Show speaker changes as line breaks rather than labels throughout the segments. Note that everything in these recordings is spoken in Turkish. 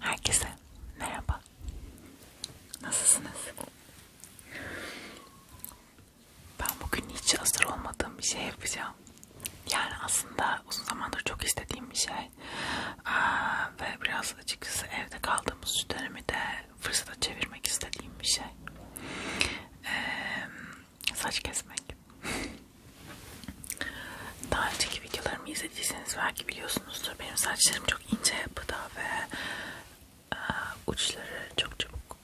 Herkese merhaba. Nasılsınız? Ben bugün hiç hazır olmadığım bir şey yapacağım. Yani aslında uzun zamandır çok istediğim bir şey. Aa, ve biraz açıkçası evde kaldığımız dönemi de fırsata çevirmek istediğim bir şey. Ee, saç kesmek. Daha önceki videolarımı izlediyseniz belki biliyorsunuzdur. Benim saçlarım çok ince yapıda ve e, uçları çok çabuk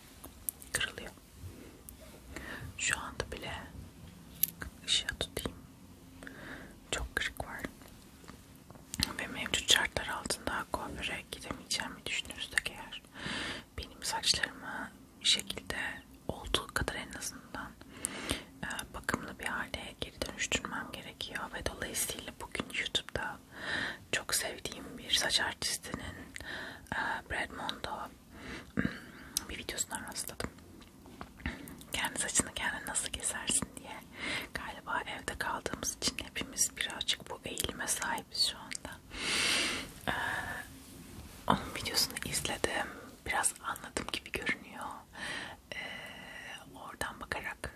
kırılıyor. Şu anda bile ışığa tutayım. Çok kırık var. Ve mevcut şartlar altında kuaföre gidemeyeceğimi düşünürsek eğer benim saçlarımı bir şekilde olduğu kadar en azından e, bakımlı bir hale geri dönüştürmem gerekiyor ve dolayısıyla bugün YouTube'da çok sevdiğim bir saç artistinin e, Bradmondo hmm, bir videosundan rastladım. Kendi saçını kendin nasıl kesersin diye galiba evde kaldığımız için hepimiz birazcık bu eğilime sahibiz şu anda. Ee, onun videosunu izledim. Biraz anladım gibi görünüyor e, oradan bakarak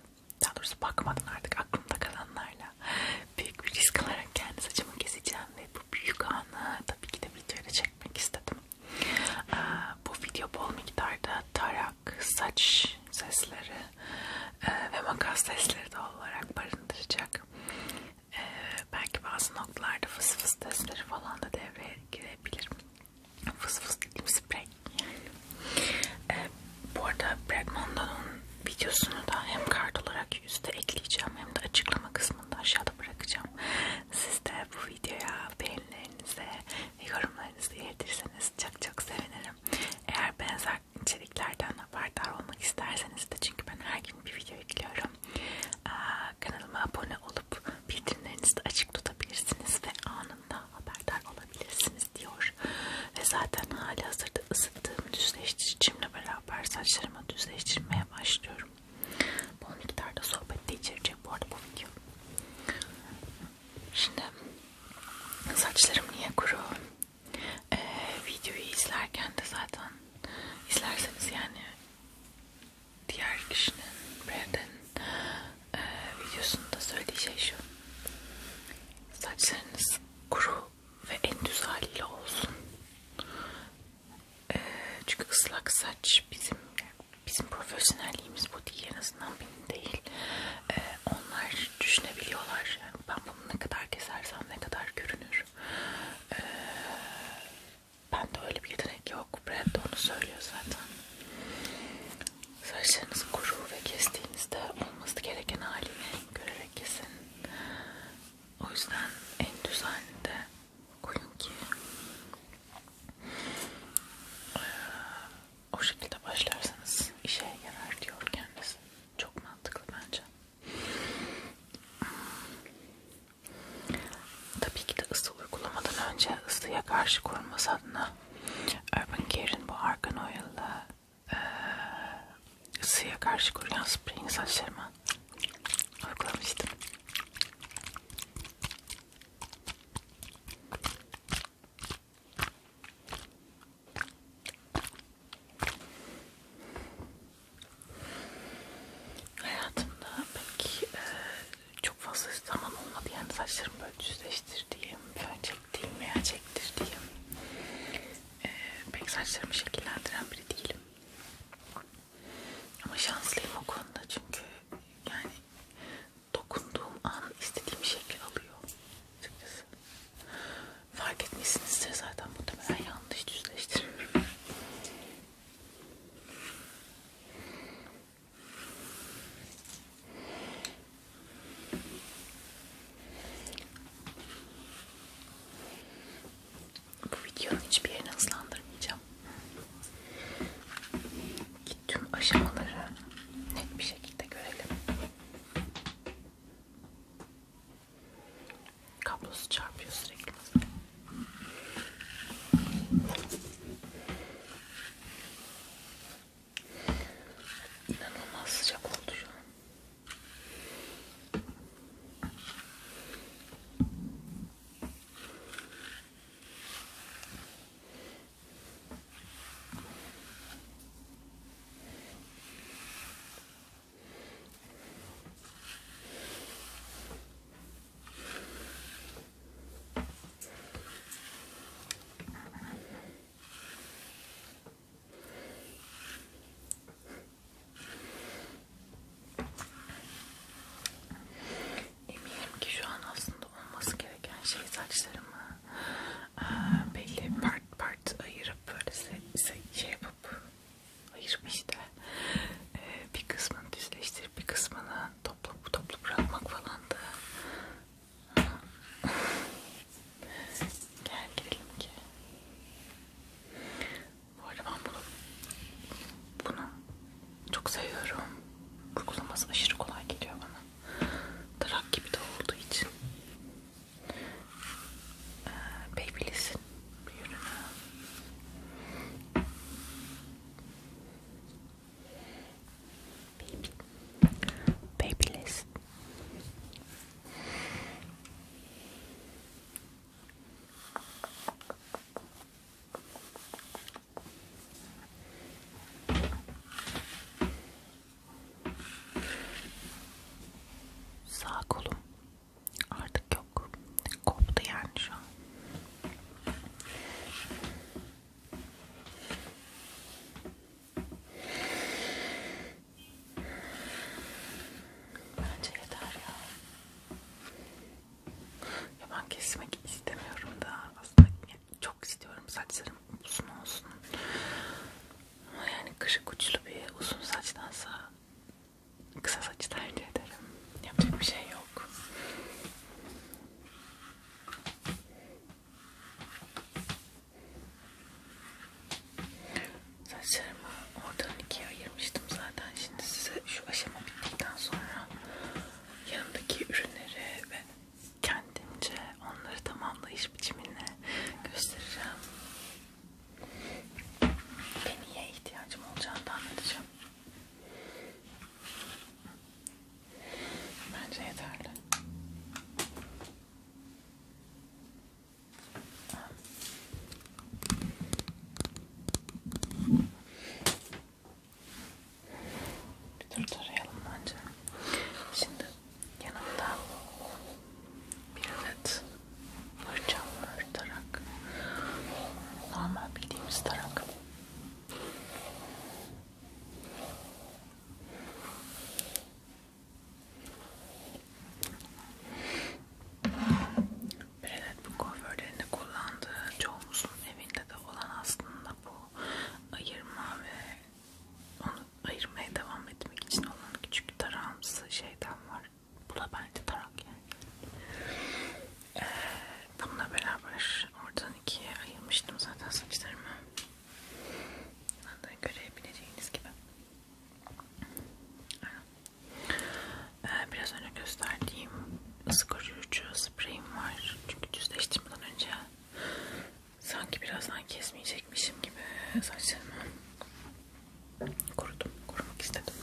daha doğrusu bakmadan artık aklımda kalanlarla büyük bir risk alarak kendi saçımı keseceğim ve bu büyük anı tabii ki de videoyla çekmek istedim. E, bu video bol miktarda tarak, saç sesleri e, ve makas sesleri de olarak barındıracak. E, belki bazı noktalarda fıs fıs sesleri falan da devreye girebilir fıs fıs dedim sprey. e, bu arada Brad Mondo'nun videosunu da hem kart olarak yüzde ekleyeceğim hem de açıklama kısmında aşağıda bırakacağım. Siz de bu videoya beğenilerinize ve yorumlarınızı iletirseniz çok çok sevinirim. Eğer benzer içeriklerden haberdar olmak isterseniz de çünkü ben her gün bir video ekliyorum. Ee, kanalıma abone olup bildirimlerinizi de açık tutabilirsiniz ve anında haberdar olabilirsiniz diyor. Ve zaten hali hazırda ısıttığım düzleştiricimle beraber saçlarıma düzleştirmeye başlıyorum. Bol miktarda sohbet de içerecek bu arada bu video. Şimdi saçlarım niye kuru? Ee, videoyu izlerken de zaten izlerseniz yani diğer kişinin Brandon e, videosunda söyleyeceği şey şu saçlarınız kuru ve en düz haliyle olsun e, çünkü ıslak saç bizim bizim profesyonelliğimiz bu değil en azından benim değil e, onlar düşünebiliyorlar yani ben bunu ne kadar kesersem ne kadar görünür e, Bende öyle bir yetenek yok. Brad de onu söylüyor zaten. Saçlarınız kuru ve kestiğinizde olması gereken halini görerek kesin. O yüzden en düz halinde koyun ki o şekilde başlarsanız işe yarar diyor kendisi. Çok mantıklı bence. Tabii ki de ısı uygulamadan önce ısıya karşı korunması adına Urban Care'in bu Argan Oil'la e, ısıya karşı koruyan spreyini saçlarıma uygulamıştım. Hayatımda pek e, çok fazla zaman olmadı yani saçlarımı böyle düzleştirdiğim, fön çektiğim veya çektirdiğim ee, pek saçlarımı şekillendiren biri değilim. Ama şanslıyım o konuda çünkü yani dokunduğum an istediğim şekli alıyor açıkçası. Fark etmişsinizdir zaten muhtemelen yanlış düzleştirmiyorum. Bu videonun hiçbir yerini hızlandırmayacağım. Tüm aşamaları net bir şekilde görelim. Kablosu çarpıyor sürekli. İnanılmaz sıcak oldu şu an. Eminim ki şu an aslında olması gereken şey saçlarımı belli part part ayırıp böyle şey yapıp ayırıp işte bir kısmını düzleştirip bir kısmını toplu toplu bırakmak falandı. Gel gidelim ki. Bu arada ben bunu, bunu çok seviyorum. Kurgulaması aşırı kolay geliyor bana. Tarak gibi de olduğu için. Ee, Babyliss'in bir ürünü. Babyliss Sağ kolum artık artık yok. Koptu yani şu an. Bence yeter ya. ya ben kesmek istemiyorum da aslında çok istiyorum saçlarım uzun olsun. Ama yani kışık uçlu bir uzun saçtansa kısa saçı tercih ederim. Yapacak bir şey yok. Saçlarımı oradan ikiye ayırmıştım zaten. Şimdi size şu aşama bittikten sonra yanımdaki ürünleri ve kendimce onları tamamlayış biçimini göstereceğim. Beniye ihtiyacım olacağını anlatacağım. Bence yeterli. Bir dur tarayalım bence. Şimdi yanımda bir adet fırçam var. Tara tarak. Normal bildiğimiz tarak. Brelet bu kuaförlerinde kullandığı çoğumuzun evinde de olan aslında bu ayırma ve onu ayırmaya devam etmek için olan küçük tarağımsı şeyden var. Bu da bence tarak yani. Ee, bununla beraber oradan ikiye ayırmıştım zaten saçlarımı. Buradan görebileceğiniz gibi. Ee, biraz önce gösterdiğim ısı koruyucu spreyim var. Çünkü düzleştirmeden önce sanki birazdan kesmeyecekmişim gibi saçlarımı kurudum istedim, kurmak istedim.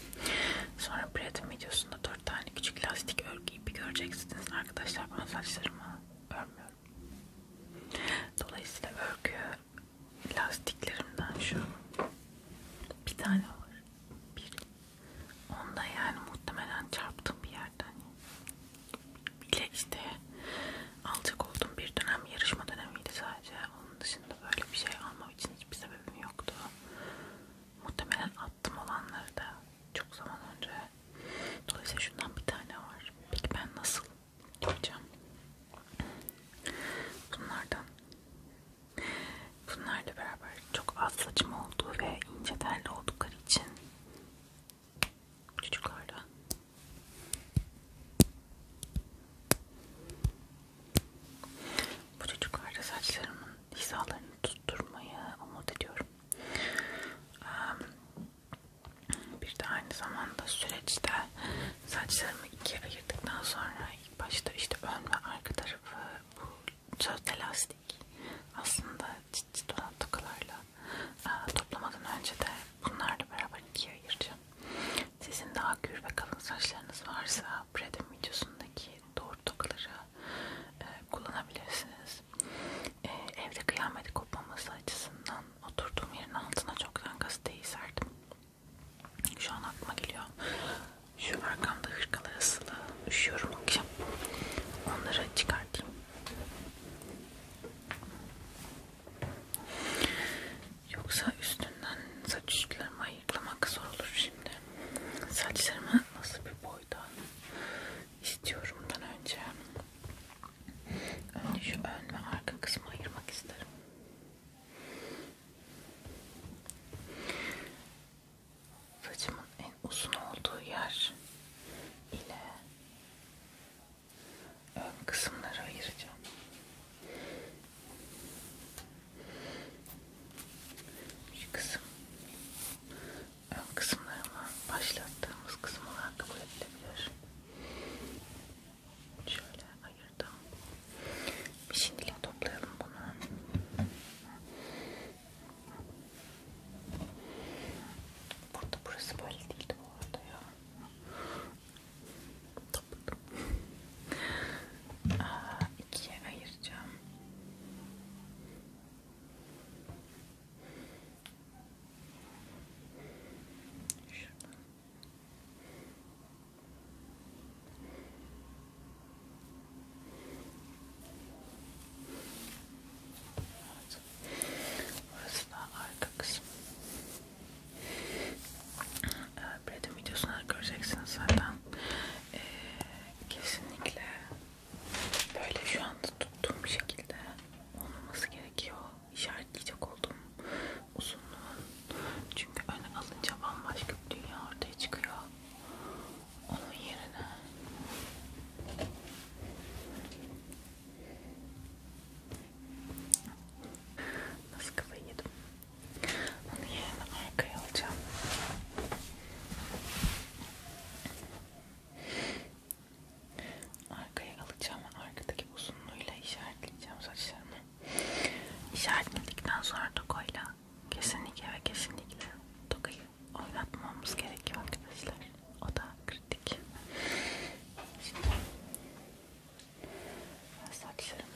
Sonra Pratim videosunda dört tane küçük lastik örgü ipi göreceksiniz arkadaşlar. Ben saçlarımı örmüyorum. Dolayısıyla örgü lastiklerimden şu bir tane var. Bir. Onda yani muhtemelen çarptığım bir yerden bile işte alacak olduğum bir dönem yarışma dönemiydi sadece. Onun dışında böyle bir şey almam için hiçbir sebebim yoktu. Muhtemelen attım olanları da çok zaman önce. Dolayısıyla şundan bir tane var. Peki ben nasıl yapacağım? Bunlardan. Bunlarla beraber çok az saçım olduğu ve ince telli oldukları için çocuklarla bu çocuklarda saçlarımın hizalarını tutturmayı umut ediyorum. Bir de aynı zamanda süreçte saçlarımı ikiye ayırdıktan sonra ilk başta işte ön ve arka tarafı bu sözde lastik aslında çıt çıt olan takılarla toplamadan önce de bunlarla beraber ikiye ayıracağım. Sizin daha gür ve kalın saçlarınız varsa Predem videosundaki ortakları e, kullanabilirsiniz. E, evde kıyamet kopmaması açısından oturduğum yerin altına çoktan gazeteyi serdim. Şu an aklıma geliyor. Şu arkamda hırkalar asılı. Üşüyorum akşam. Onları çıkartayım. Yoksa üstünden saç uçlarımı ayıklamak zor olur şimdi saçlarımı nasıl bir boyda istiyorumdan önce önce şu ön ve arka kısmı ayırmak isterim. Saçımın en uzun olduğu yer ile ön kısımları ayıracağım. Şu kısım ön kısımlarımı başlattığımız kısım olarak kabul edilebilir. Şöyle ayırdım. Bir şimdilik toplayalım bunu. Burada burası böyle değildi bu arada ya. Topladım. Aa, ikiye ayıracağım. Şuradan. Evet. Burası da arka kısım. Ee, Bread'in videosunu göreceksiniz zaten. Ee, kesinlikle böyle şu anda tuttuğum şekilde olmaması gerekiyor. İşaretleyecek olduğum uzunluğun. Çünkü öne alınca bambaşka bir dünya ortaya çıkıyor. Onun yerine nasıl kafayı yedim? Onu yerine arkaya alacağım. Arkaya alacağım ve arkadaki uzunluğuyla işaretleyeceğim saçlarımı. İşaretledikten sonra tokoyla kesinlikle ve kesinlikle tokayı oynatmamız gerekiyor arkadaşlar. O da kritik. Şimdi saçlarımı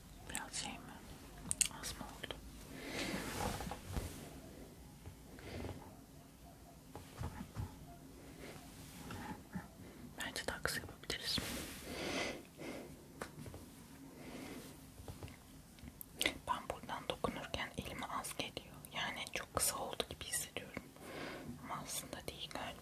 Biraz şey mi? Az mı oldu? Bence daha kısa yapabiliriz. Ben buradan dokunurken elime az geliyor. Yani çok kısa oldu gibi hissediyorum. Ama aslında değil galiba.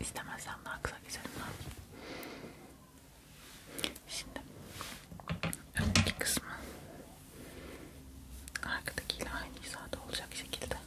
İstemezsem daha kısa geçerim lazım. Şimdi öndeki kısmı arkadakiyle aynı hizada olacak şekilde alıyorum.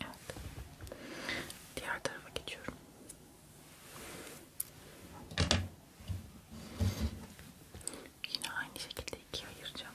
Evet. Diğer tarafa geçiyorum. Yine aynı şekilde ikiye ayıracağım.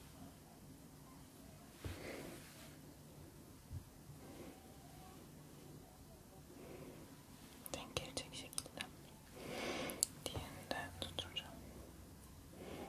Denk gelecek şekilde diğerini de tutacağım. Böyle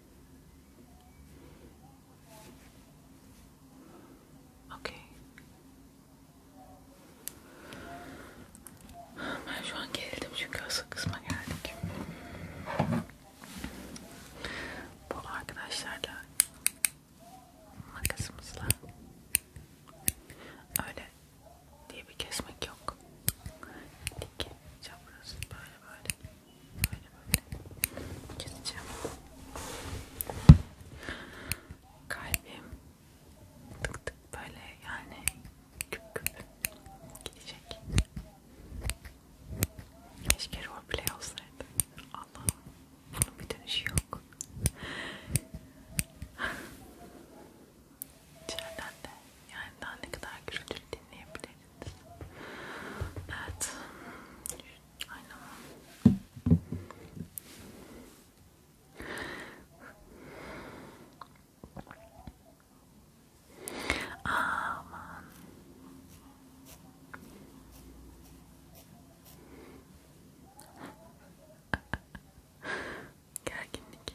Okey. Ben şu an geldim çünkü asıl kısma geldik. Bu arkadaşlarla makasımızla öyle diye bir kesmek yok. Dik, çapraz, böyle böyle böyle böyle keseceğim. Kalbim tık tık böyle yani küp küp gidecek. Keşke roleplay olsaydı. Allah'ım bunun bir dönüşü yok. İçeriden de yani daha ne kadar gürültülü dinleyebiliriz. Evet. Aynen. Aman. Gerginlik.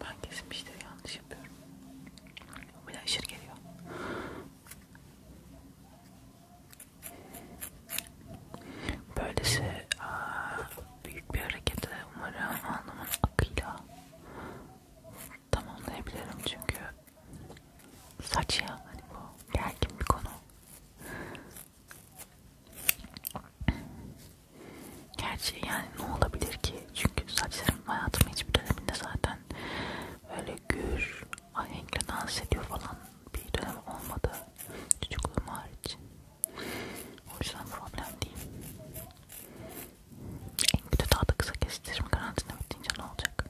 Ben kesin bir şey yanlış yapıyorum. O bile aşırı geliyor. Böylesi aa, büyük bir hareketi umarım alnımın akıyla tamamlayabilirim çünkü saç ya hani bu gergin bir konu Gerçi yani ne olabilir ki? Çünkü saçlarım hayatımın hiçbir döneminde zaten böyle gür, ahenkle dans ediyor falan bir dönem olmadı. Çocukluğum hariç. O yüzden problem değil. En kötü daha da kısa kestiririm. Karantina bitince ne olacak?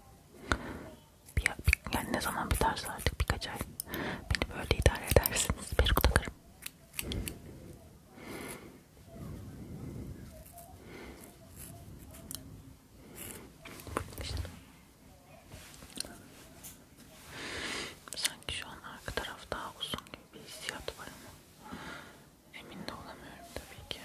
Bir, bir, yani ne zaman biterse artık birkaç ay beni böyle idare edersiniz. Peruk takarım. Sanki şu an arka taraf daha uzun gibi bir hissiyat var ama emin de olamıyorum tabii ki.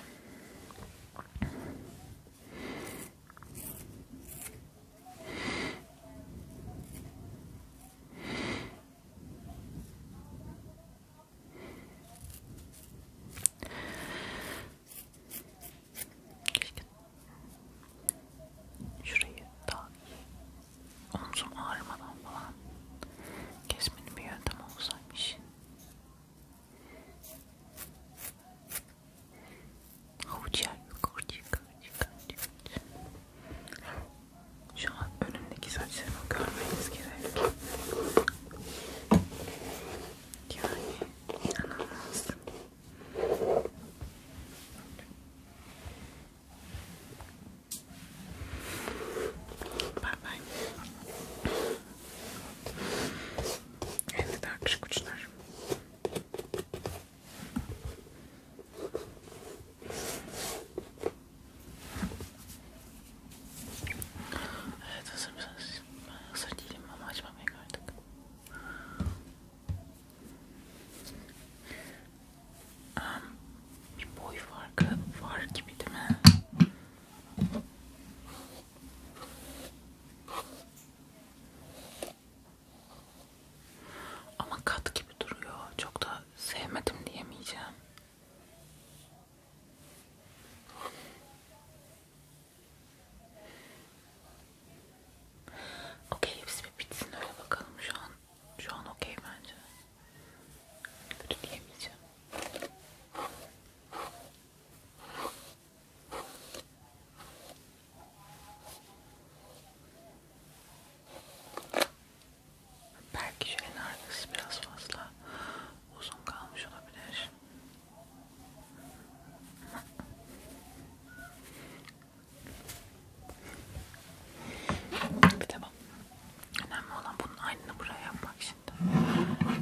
Keşke şurayı daha omzum ağrımadan falan kesmenin bir yöntem olsaymış. Havuç yer yok orcik çıkar, çıkar. Şu an önümdeki saçlarımı görmeniz gerek. Yani inanılmaz. Bye bye. Elde daha küçük uçlar. Evet hazır mısınız? Ben hazır değilim ama açmamaya kaldık. Um, bir boy farkı var gibi değil mi? Ama kat gibi duruyor. Çok da sevmedim diyemeyeceğim. Okey hepsi bir bitsin öyle bakalım şu an. Şu an okey bence. Kötü diyemeyeceğim. Belki şeyin arkası biraz fazla uzun kalmış olabilir. tamam. Önemli olan bunun aynını buraya yapmak şimdi.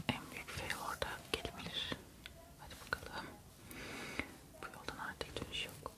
En büyük fail orada gelebilir. Hadi bakalım. Bu yoldan artık dönüş yok.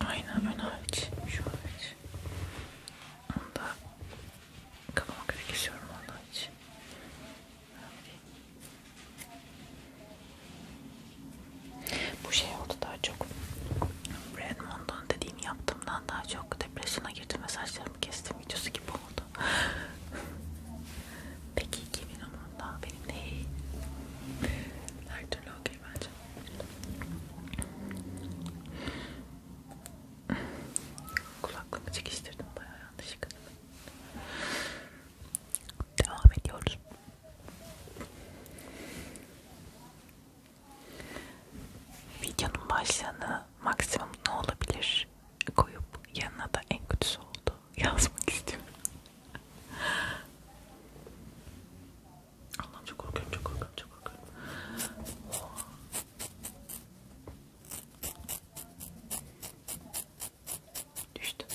Aynen ön hariç, şu hariç. Onu da kafama göre kesiyorum ondan için. Bu şey oldu daha çok. Redmond'un dediğini yaptığımdan daha çok depresyona girdim ve saçlarımı kestim videosu gibi oldu. Peki kimin umurunda? Benim değil. Her türlü okey bence. Kulaklığımı çekiştirdim bayağı yanlışlıkla. Devam ediyoruz. Videonun başlığını maksimum ne olabilir koyup yanına da en kötüsü oldu yazmak istiyorum. Allah'ım çok korkuyorum, çok korkuyorum, çok korkuyorum. Oh. Düştüm.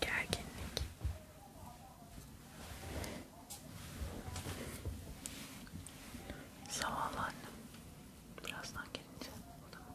Gerginlik. Sağ ol annem. Birazdan gelince. Tamam.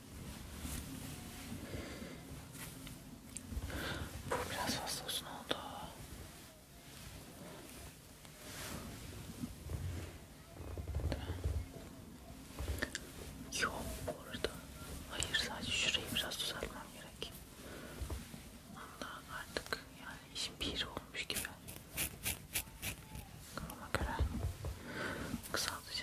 Bu biraz fazla uzun oldu. Yok burada. Hayır sadece şurayı biraz düzeltmem gerek. Ondan artık yani işin bir olmuş gibi. Kafama göre kısaltıcı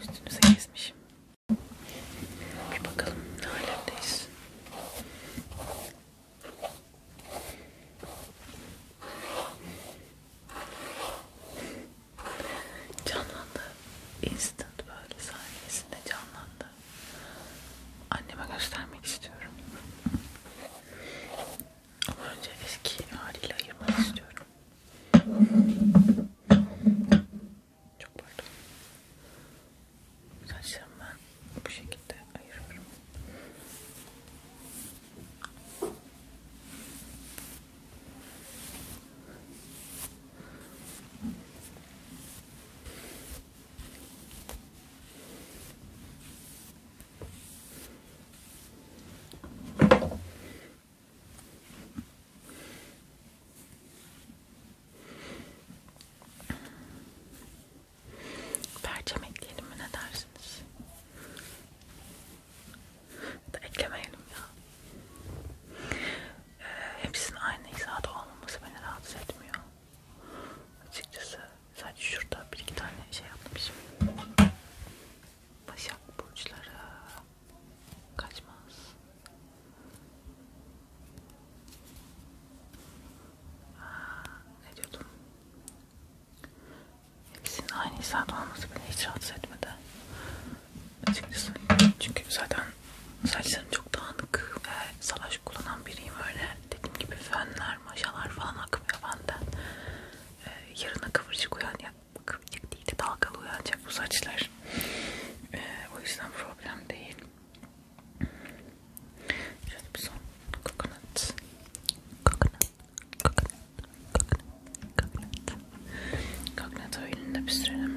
Üstünüze kesmişim. Bir bakalım ne alemdeyiz. Canlandı. Instant böyle sahnesinde canlandı aslında. Anneme göstermek istiyorum. Ama önce eski haliyle ayırmak istiyorum. Çok pardon. Saçlarımı ben bu şekilde ayırıyorum. Perçem ekleyelim mi ne dersiniz? Da eklemeyelim ya. Ee, hepsinin aynı hizada olmaması beni rahatsız etmiyor. Açıkçası sadece şurada bir iki tane şey yapmışım. Başak burçları kaçmaz. Aa, ne diyordum? Hepsinin aynı saat olması beni hiç rahatsız etmedi. Açıkçası çünkü zaten saçlarım çok dağınık ve salaş kullanan biriyim öyle. Dediğim gibi fönler, maşalar falan akmıyor benden. Ee, yarına kıvırcık uyanacak, kıvırcık değil de dalgalı uyanacak bu saçlar. Ee, o yüzden problem değil. Şöyle bir son. Coconut. Coconut. Coconut. Coconut. Coconut. Coconut oilini de pişirelim.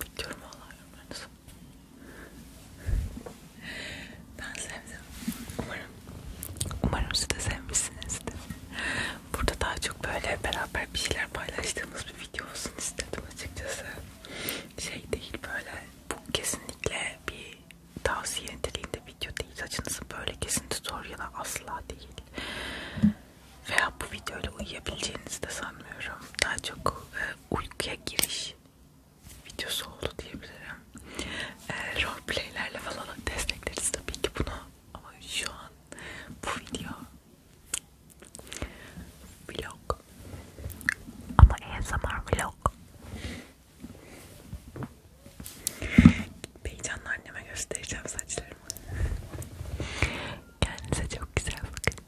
Bekliyorum valla yorumlarınızı. Ben sevdim. Umarım, umarım siz de sevmişsinizdir. Burada daha çok böyle beraber bir şeyler paylaştığımız bir video olsun istedim açıkçası. Şey değil böyle, bu kesinlikle bir tavsiye niteliğinde video değil. Saçınızı böyle kesinti zor ya da asla değil veya bu videoyla uyuyabileceğinizi de sanmıyorum. Daha çok e, uykuya giriş videosu oldu diyebilirim. E, roleplaylerle falan destekleriz tabii ki bunu. Ama şu an bu video vlog. Ama ASMR vlog. Heyecanla anneme göstereceğim saçlarımı. Kendinize çok güzel bakın.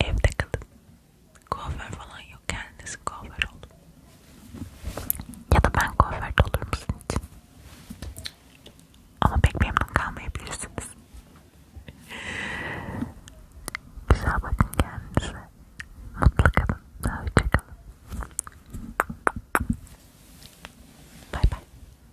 Evde kalın. Kuaför falan yok. Kendiniz kuaför olun. Ya da ben kuaförde olur musun için? Ama pek memnun kalmayabilirsiniz. Güzel bakın kendinize. Mutlu kalın. Hoşça kalın. Bay bay.